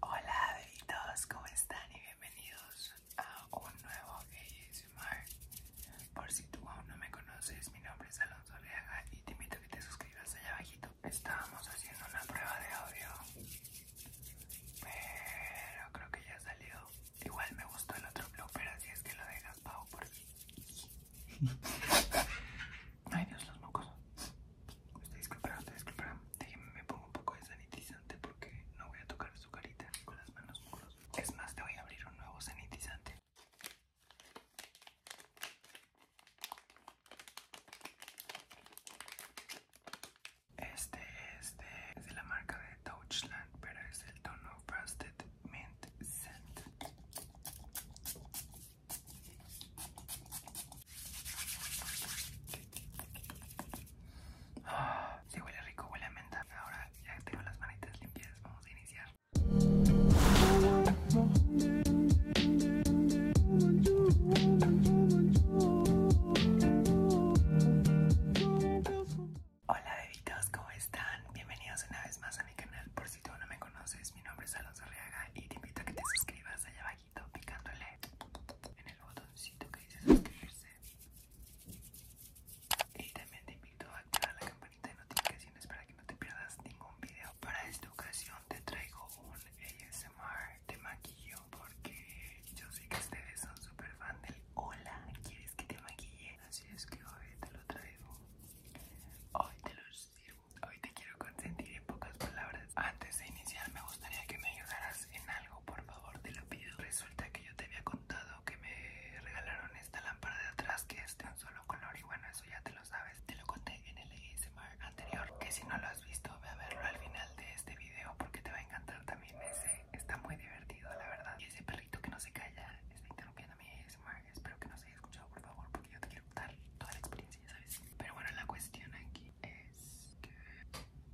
Hola todos ¿cómo están? Y bienvenidos a un nuevo ASMR Por si tú aún no me conoces, mi nombre es Alonso Leaga y te invito a que te suscribas allá abajito Estábamos haciendo una prueba de audio Pero creo que ya salió Igual me gustó el otro pero así es que lo dejas, Pau, por Ay Dios, los mocos me pongo un poco de sanitizante porque no voy a tocar su carita con las manos muros. Es más, te voy a abrir un nuevo sanitizante. Este, es de la marca de Touchland, pero es el tono Frosted Mint Scent. Ah, huele rico, huele a menta. Ahora ya tengo las manitas limpias, vamos a iniciar. Hola bebitos, ¿cómo están? Bienvenidos una vez más a mi canal. Por si tú no me conoces, mi nombre es Alonso Reaga y te invito a que te suscribas a abajo picándole en el botoncito que dice suscribirse y también te invito a activar la campanita de notificaciones para que no te pierdas ningún video para esta ocasión te traigo un ASMR de maquillo porque yo sé que ustedes son super fan del hola quieres que te maquille así es que hoy te lo traigo hoy te traigo Hoy te quiero consentir en pocas palabras. Antes de iniciar me gustaría que me ayudaras en algo, por favor, te lo pido. Resulta que yo te había contado que me regalaron esta lámpara de atrás que es de un solo color y bueno, eso ya te lo sabes. Te lo conté en el ASMR anterior, que si no lo has visto, ve a verlo al final de este video porque te va a encantar también ese. Está muy divertido, la verdad. Y ese perrito que no se calla está interrumpiendo mi ASMR. Espero que no se haya escuchado, por favor, porque yo te quiero contar toda la experiencia. Pero bueno, la cuestión aquí es que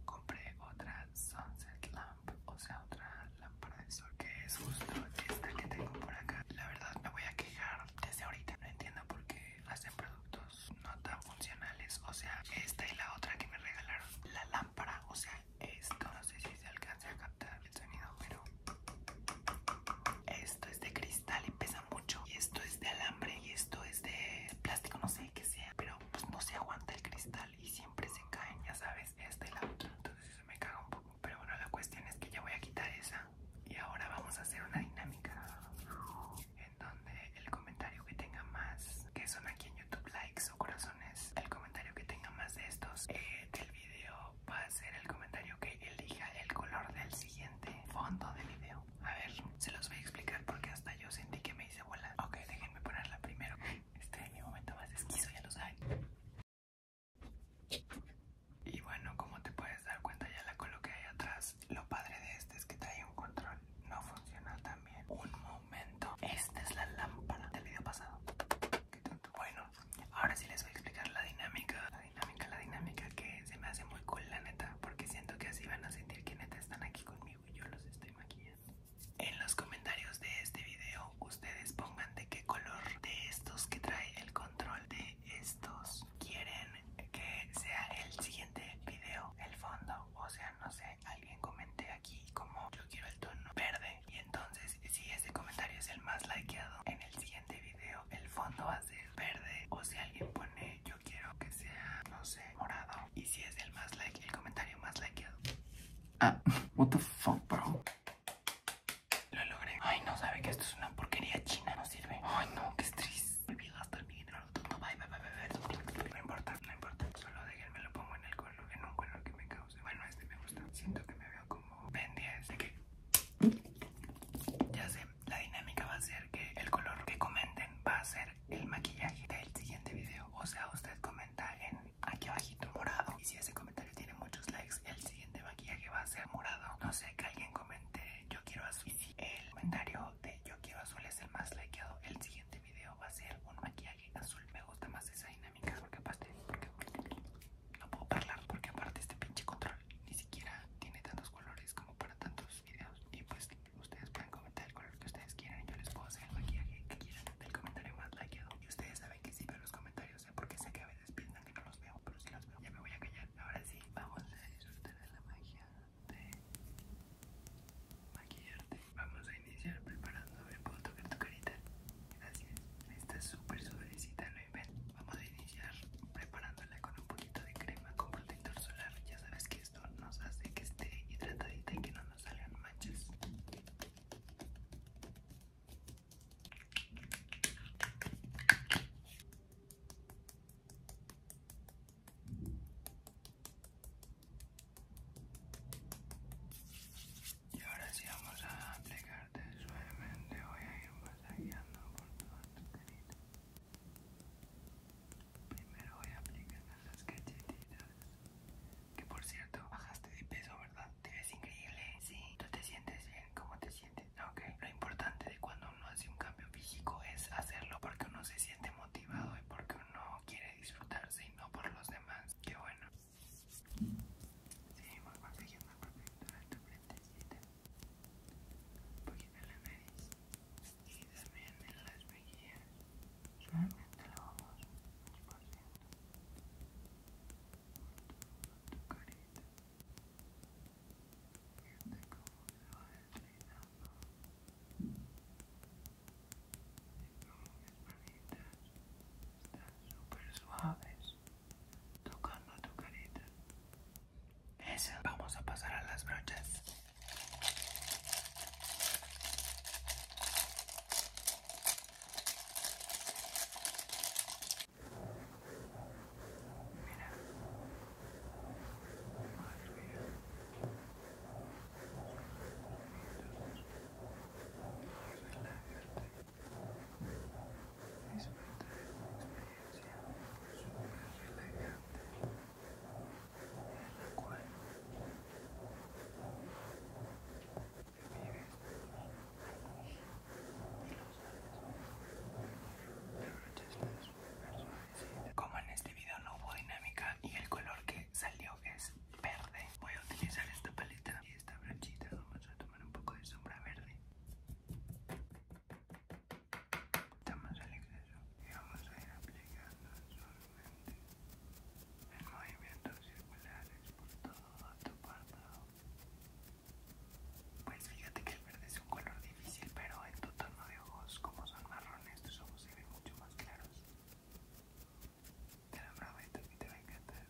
compré otra Sunset Lamp, o sea, otra lámpara de sol, que es justo esta que tengo por acá. La verdad, me voy a quejar desde ahorita. No entiendo por qué hacen productos no tan funcionales, o sea, esta y la otra que me regalaron. La lámpara, o sea, esto no sé si se alcance a captar el sonido, pero esto es de cristal y pesa mucho. Y esto es de alambre y esto es de plástico, no sé qué sea. Pero pues no se aguanta el cristal y siempre se caen, ya sabes, este y Entonces eso me caga un poco. Pero bueno, la cuestión es que ya voy a quitar esa. Y ahora vamos a hacer una dinámica en donde el comentario que tenga más, que son aquí en YouTube likes o corazones, el comentario que tenga más de estos eh, del video va a ser el comentario que elija el color del siguiente fondo del video. A ver, se los voy a explicar porque hasta yo sentí que me hice bola. Ok, déjenme ponerla primero. Este es mi momento más esquizo, ya lo saben. Y bueno, como te puedes dar cuenta, ya la coloqué ahí atrás. Lo padre de este es que trae un control. No funciona tan bien. Un momento. Esta es la lámpara del video pasado. ¿Qué tanto? Bueno, ahora sí les voy a explicar la dinámica, la dinámica, la dinámica que se me hace muy cool la neta, porque siento que así van a sentir que neta están aquí conmigo y yo los estoy maquillando. En los comentarios de este video ustedes pongan de qué color de estos que trae el control de estos quieren que sea el siguiente video, el fondo, o sea, no sé, alguien comente aquí como yo quiero el tono verde y entonces si ese comentario es el más likeado en el siguiente de video el fondo va a ser verde o si alguien pone yo quiero que sea, no sé, morado. Y si es el más like, el comentario más likeado. Ah, what the fuck, bro. Lo logré. Ay, no sabe que esto es una porquería china, no sirve. Ay, no, que estrés. Olvidé gastar mi dinero. No, bye, bye, bye, No importa, no importa. Solo me lo pongo en el color, en un color que me cause. Bueno, este me gusta. Siento que me veo como Ben 10. ¿De que ya sé, la dinámica va a ser que el color que comenten va a ser el maquillaje del siguiente video. O sea, usted comenta en aquí abajito morado. Y si ese comentario tiene muchos likes, el siguiente maquillaje va a ser morado. No sé, que alguien comente yo quiero azul. Y si el comentario de yo quiero azul es el más likeado, el siguiente video va a ser un maquillaje azul. Me gusta más esa dinámica porque no puedo hablar porque aparte este pinche control ni siquiera tiene tantos colores como para tantos videos y pues ustedes pueden comentar el color que ustedes quieran y yo les puedo hacer el maquillaje que quieran del comentario más likeado y ustedes saben que sí pero los comentarios ¿eh? porque sé que a veces piensan que no los veo pero sí los veo ya me voy a callar ahora sí vamos a disfrutar de la magia de maquillarte vamos a iniciar preparando el punto que tu carita Gracias, está súper suavecita, no inventes. Vamos a iniciar preparándola con un poquito de crema con protector solar. Ya sabes que esto nos hace que esté hidratadita y que no nos salgan manchas. Y ahora sí vamos a aplicarte suavemente. Voy a ir masajeando por todo tu carita. Primero voy a aplicar las cachetitas. Que por cierto, bajaste de peso, ¿verdad? Te ves increíble. Sí. ¿Tú te sientes bien? ¿Cómo te sientes? Ok. Lo importante de cuando uno hace un cambio físico es hacerlo porque uno se siente motivado y porque uno quiere disfrutarse y no por los demás. Qué bueno. Seguimos protegiendo el protector de tu un poquito en la nariz y también en las mejillas. Solamente lo vamos esparciendo tu carita. Fíjate cómo se va manitas súper suaves tocando tu carita. Eso. Vamos a pasar a las brochas. Mira. Como en este video no hubo dinámica y el color que salió es verde. Voy a utilizar esta paleta y esta brochita. Vamos a tomar un poco de sombra verde. Estamos al exceso y vamos a ir aplicando solamente en movimientos circulares por todo tu párpado. Pues fíjate que el verde es un color difícil, pero en tu tono de ojos, como son marrones, tus ojos se ven mucho más claros. Te lo prometo que te va a encantar.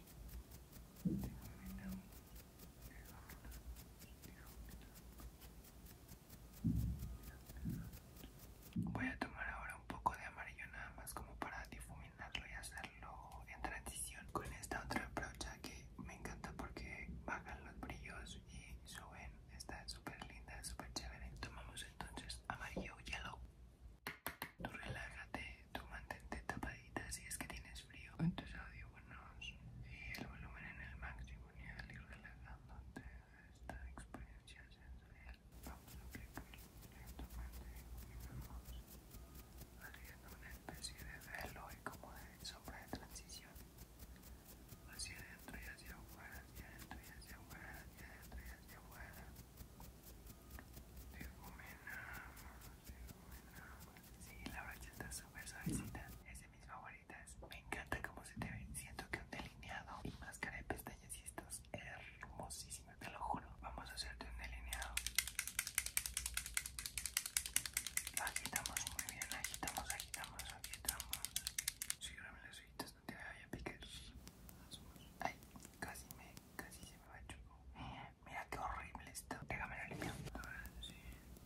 Voy a tomar ahora un poco de amarillo nada más como para difuminarlo y hacerlo en transición con esta otra brocha que me encanta porque bajan los brillos y suben. Está súper linda, súper chévere. Tomamos entonces amarillo yellow. Tú relájate, tú mantente tapadita si es que tienes frío con tus audífonos y el volumen en el máximo y al ir relajándote esta experiencia sensorial. Vamos a aplicar lentamente y vamos haciendo una especie de velo y como de sombra de transición hacia adentro y hacia afuera, hacia adentro y hacia afuera, hacia adentro y hacia afuera. Sí, la brocha está súper suavecita. Es de mis favoritas. Me encanta cómo se te ve. Siento que un delineado y máscara de pestañas y estos es hermosísimo, te lo juro. Vamos a hacerte un delineado. Agitamos muy bien, agitamos, agitamos, agitamos. Sígueme las ojitas no te vaya a picar. Ay, casi me, casi se me va a chupar. Mira qué horrible esto. Déjame la limpio. Ahora sí,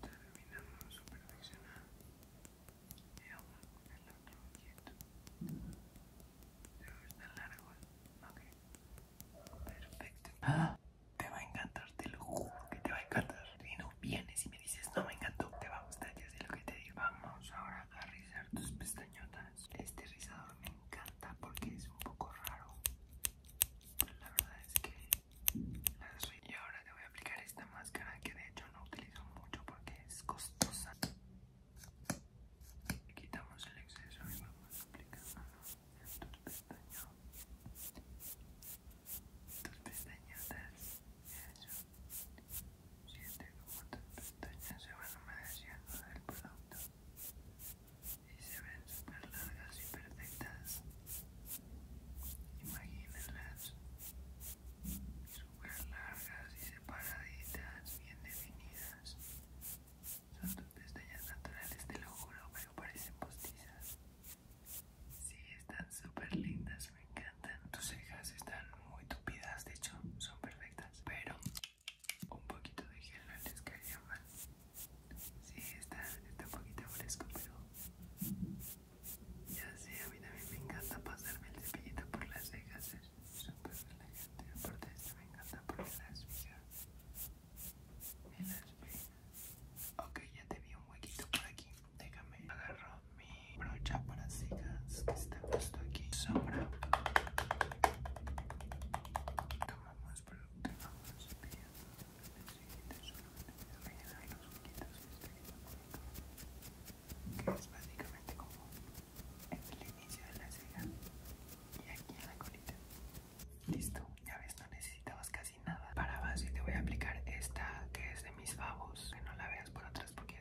terminamos su el otro quieto. largo Ok. Perfecto. Te va a encantar, te lo juro que te va a encantar. Si no vienes y me dices, no me encantó. Te va a gustar, ya sé lo que te digo. Vamos ahora a rizar tus pestañotas. Este rizador me encanta porque es un poco raro. la verdad es que las Y ahora te voy a aplicar esta máscara que de hecho no utilizo mucho porque es costosa. Quitamos el exceso y vamos a en tus Tus pestañotas. Siente como tus pestañas se van humedeciendo del producto y se ven súper largas y perfectas. Imagínenlas súper largas y separaditas, bien definidas. Son tus pestañas naturales, te lo juro, pero parecen postizas. Sí, están súper lindas me encantan. Tus cejas están muy tupidas, de hecho, son perfectas. Pero un poquito de gel no les caería mal. Sí, está, un poquito fresco, pero ya sé, a mí también me encanta pasarme el cepillito por las cejas. Es súper relajante. Aparte esto, me encanta por las cejas me las Ok, ya te vi un huequito por aquí. Déjame agarro mi brocha para cejas que está justo aquí. Sombra. tomamos producto vamos el siguiente solamente los que que es básicamente como el inicio de la ceja y aquí en la colita. Listo, ya ves, no necesitabas casi nada. Para base te voy a aplicar esta que es de mis babos, que no la veas por atrás porque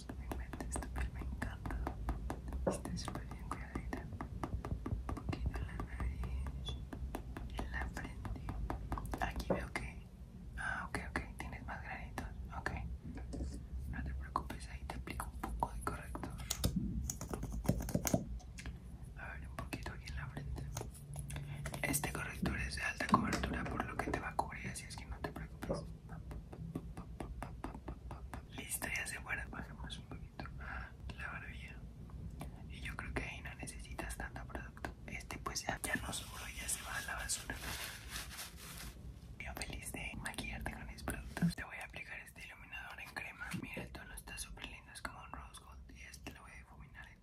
pues, me encanta. Está súper bien cuidadita. Un poquito en la nariz, en la frente. Aquí veo que. Ah, ok, ok, tienes más granitos. Ok, no te preocupes, ahí te aplico un poco de corrector. A ver, un poquito aquí en la frente. Este corrector es de alta cobertura, por lo que te va a cubrir, así es que no te preocupes. Listo, ya se fueron. Bajemos un poquito la barbilla. Y yo creo que ahí no necesitas tanto producto. Este, pues ya, no ya se va a la basura. Yo feliz de maquillarte con mis productos. Te voy a aplicar este iluminador en crema. Mira, el tono está súper lindo, es como un rose gold. Y este lo voy a difuminar a mí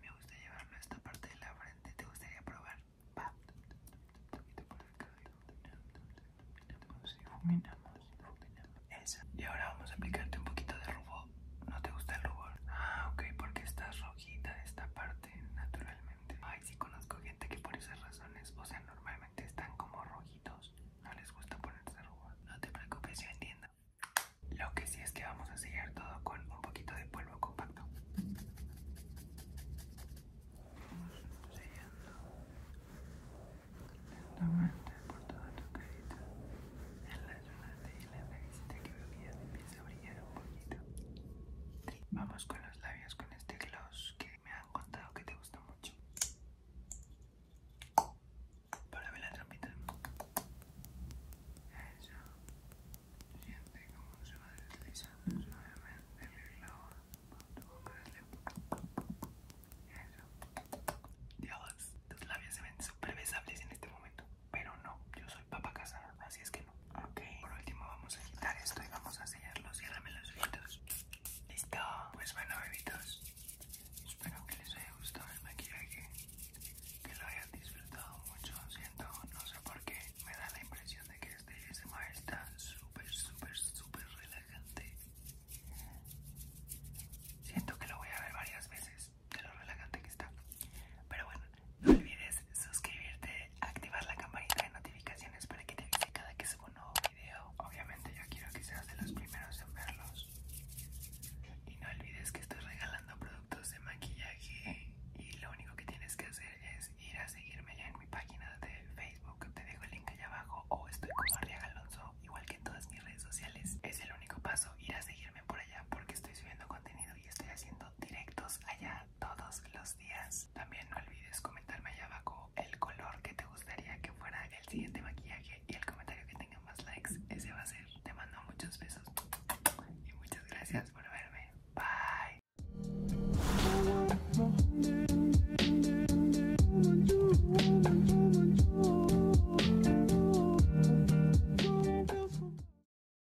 me gusta llevarlo a esta parte de la frente. ¿Te gustaría probar? y ahora vamos a aplicarte un poquito de rubor. ¿No te gusta el rubor? Ah, ok, porque está rojita esta parte naturalmente si conozco gente que por esas razones, o sea, normalmente están como rojitos, no les gusta ponerse rojo No te preocupes, yo entiendo. Lo que sí es que vamos a sellar todo con un poquito de polvo compacto. Vamos Vamos con los labios con este gloss que me han contado que te gusta mucho. Para ver la trampita. Eso. Siente como se va deslizando suavemente el gloss tu boca de Eso. Dios, tus labios se ven súper besables en este momento. Pero no, yo soy papá casada, así es que por último vamos a quitar esto y vamos a sellarlos. los los ojitos. Listo. Pues bueno, bebitos. Espero que les haya gustado el maquillaje. Que lo hayan disfrutado mucho. Siento, no sé por qué, me da la impresión de que este ASMR está súper, súper, súper relajante. Siento que lo voy a ver varias veces de lo relajante que está. Pero bueno, no olvides suscribirte, activar la campanita de notificaciones para que te avise cada que suba un nuevo video. Obviamente yo quiero que seas de los primeros en verlos. Y no olvides que estoy regalando productos de maquillaje y lo único que tienes que hacer es ir a seguirme ya en mi página de Facebook. Te dejo el link allá abajo o estoy como Arriaga Alonso, igual que en todas mis redes sociales. Es el único paso, ir a seguirme por allá porque estoy subiendo contenido y estoy haciendo directos allá todos los días. También no olvides comentarme allá abajo el color que te gustaría que fuera el siguiente maquillaje y el comentario que tenga más likes, ese va a ser. Te mando muchos besos y muchas gracias por verme. Bye.